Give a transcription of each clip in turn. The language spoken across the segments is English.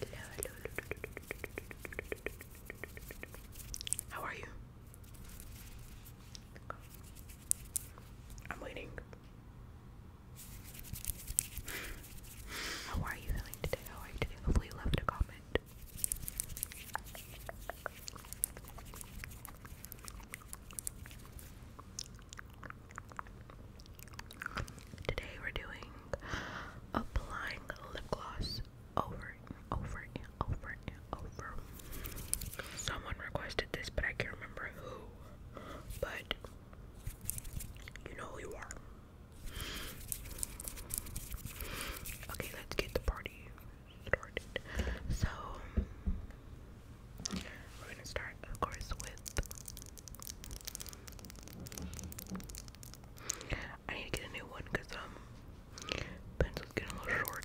hello. How are you? I'm waiting. How are you feeling today? How are you today? Hopefully left a comment. Today we're doing applying lip gloss over over over over. Someone requested this, but I can't remember who. But you know who you are. Okay, let's get the party started. So, we're gonna start, of course, with. I need to get a new one because, um, pencil's getting a little short.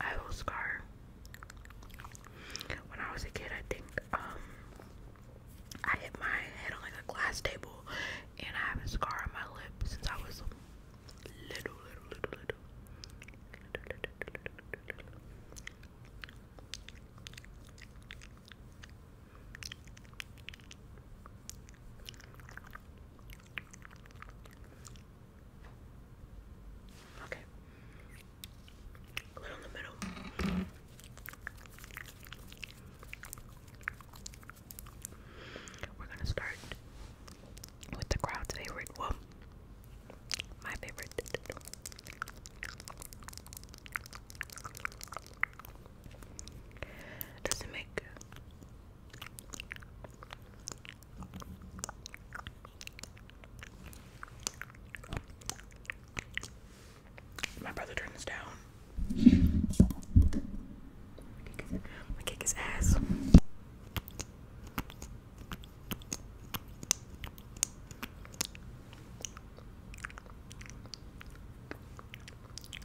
I will scar. When I was a kid, I think um, I hit my head on like a glass table, and I have a scar on my lip since I was little, little, little, little. Okay. A little in the middle. We're gonna start with the crowd's favorite. Well, my favorite. Does it make my brother turned this down? I kick his ass.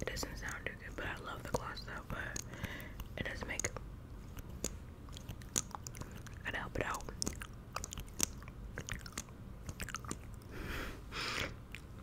it doesn't sound too good, but I love the gloss though, but it does make I'd help it out.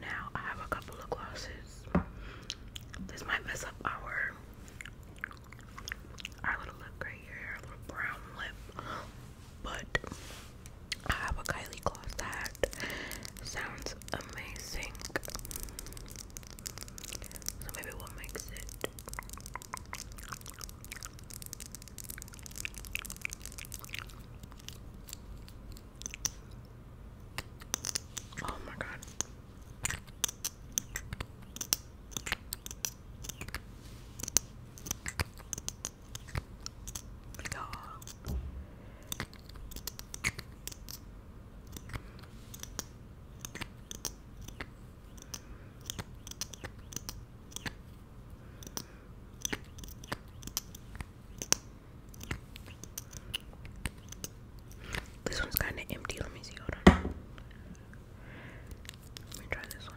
Now I have a couple of glosses. This might mess up our our little look right here, our little brown lip. But I have a Kylie gloss that sounds amazing. So maybe we'll mix it Oh my god. Oh. This one's kind of empty. Let me see. Hold on. Let me try this one.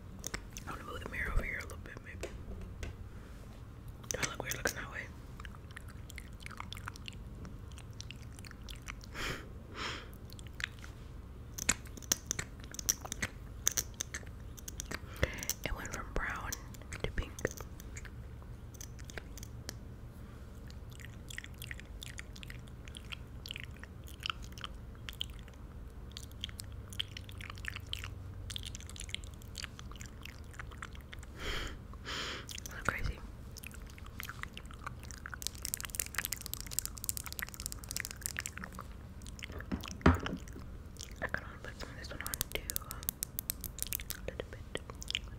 I'm gonna move the mirror over here a little bit, maybe. Do I look weird looking that way? It went from brown to pink so crazy. I kind of to put some of this one on too. a little bit.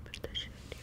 Put this shade here.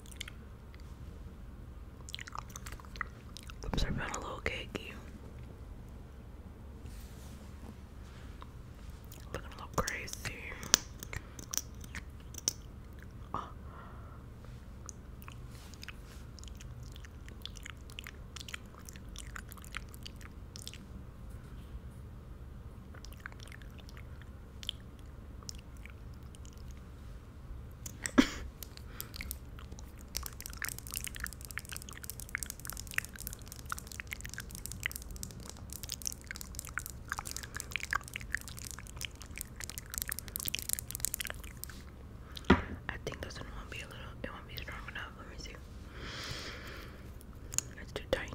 Lips are feeling a little cakey. Looking a little crazy. I think this one won't be a little, it won't be strong enough. Let me see. It's too tiny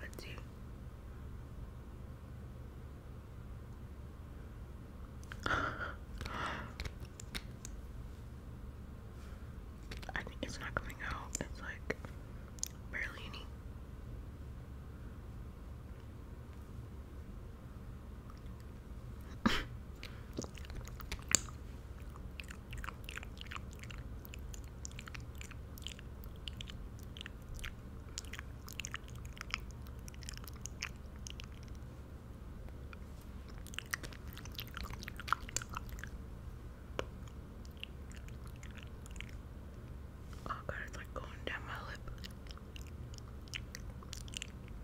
let you? it's not coming out. It's like Berlini. Oh god, it's like going down my lip.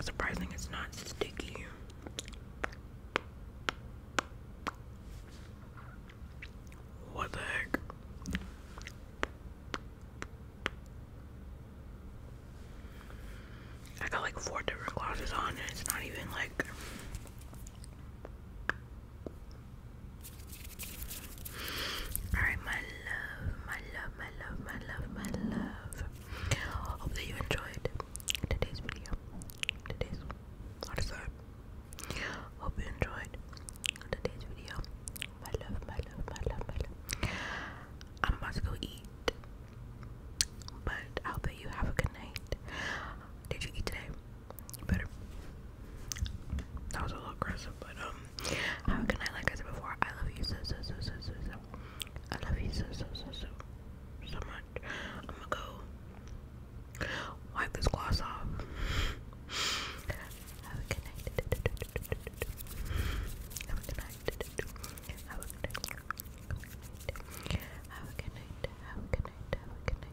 Surprising it's not sticky. What the heck? I got like four different glosses on, and it's not even like. Alright, my love, my love, my love, my love, my love. Hope that you enjoyed today's video. Today's what is that? Hope you enjoyed today's video. My love, my love, my love, my love. I'm about to go eat. But I hope that you have a good night. Did you eat today? You better. That was a little aggressive, but um, have a good night. Like I said before, I love you so so so so so so I love you so so so so so much. I'm gonna go wipe this gloss off. Have a good night. Have a good night. Have a good night. Have a good night. Have a good night.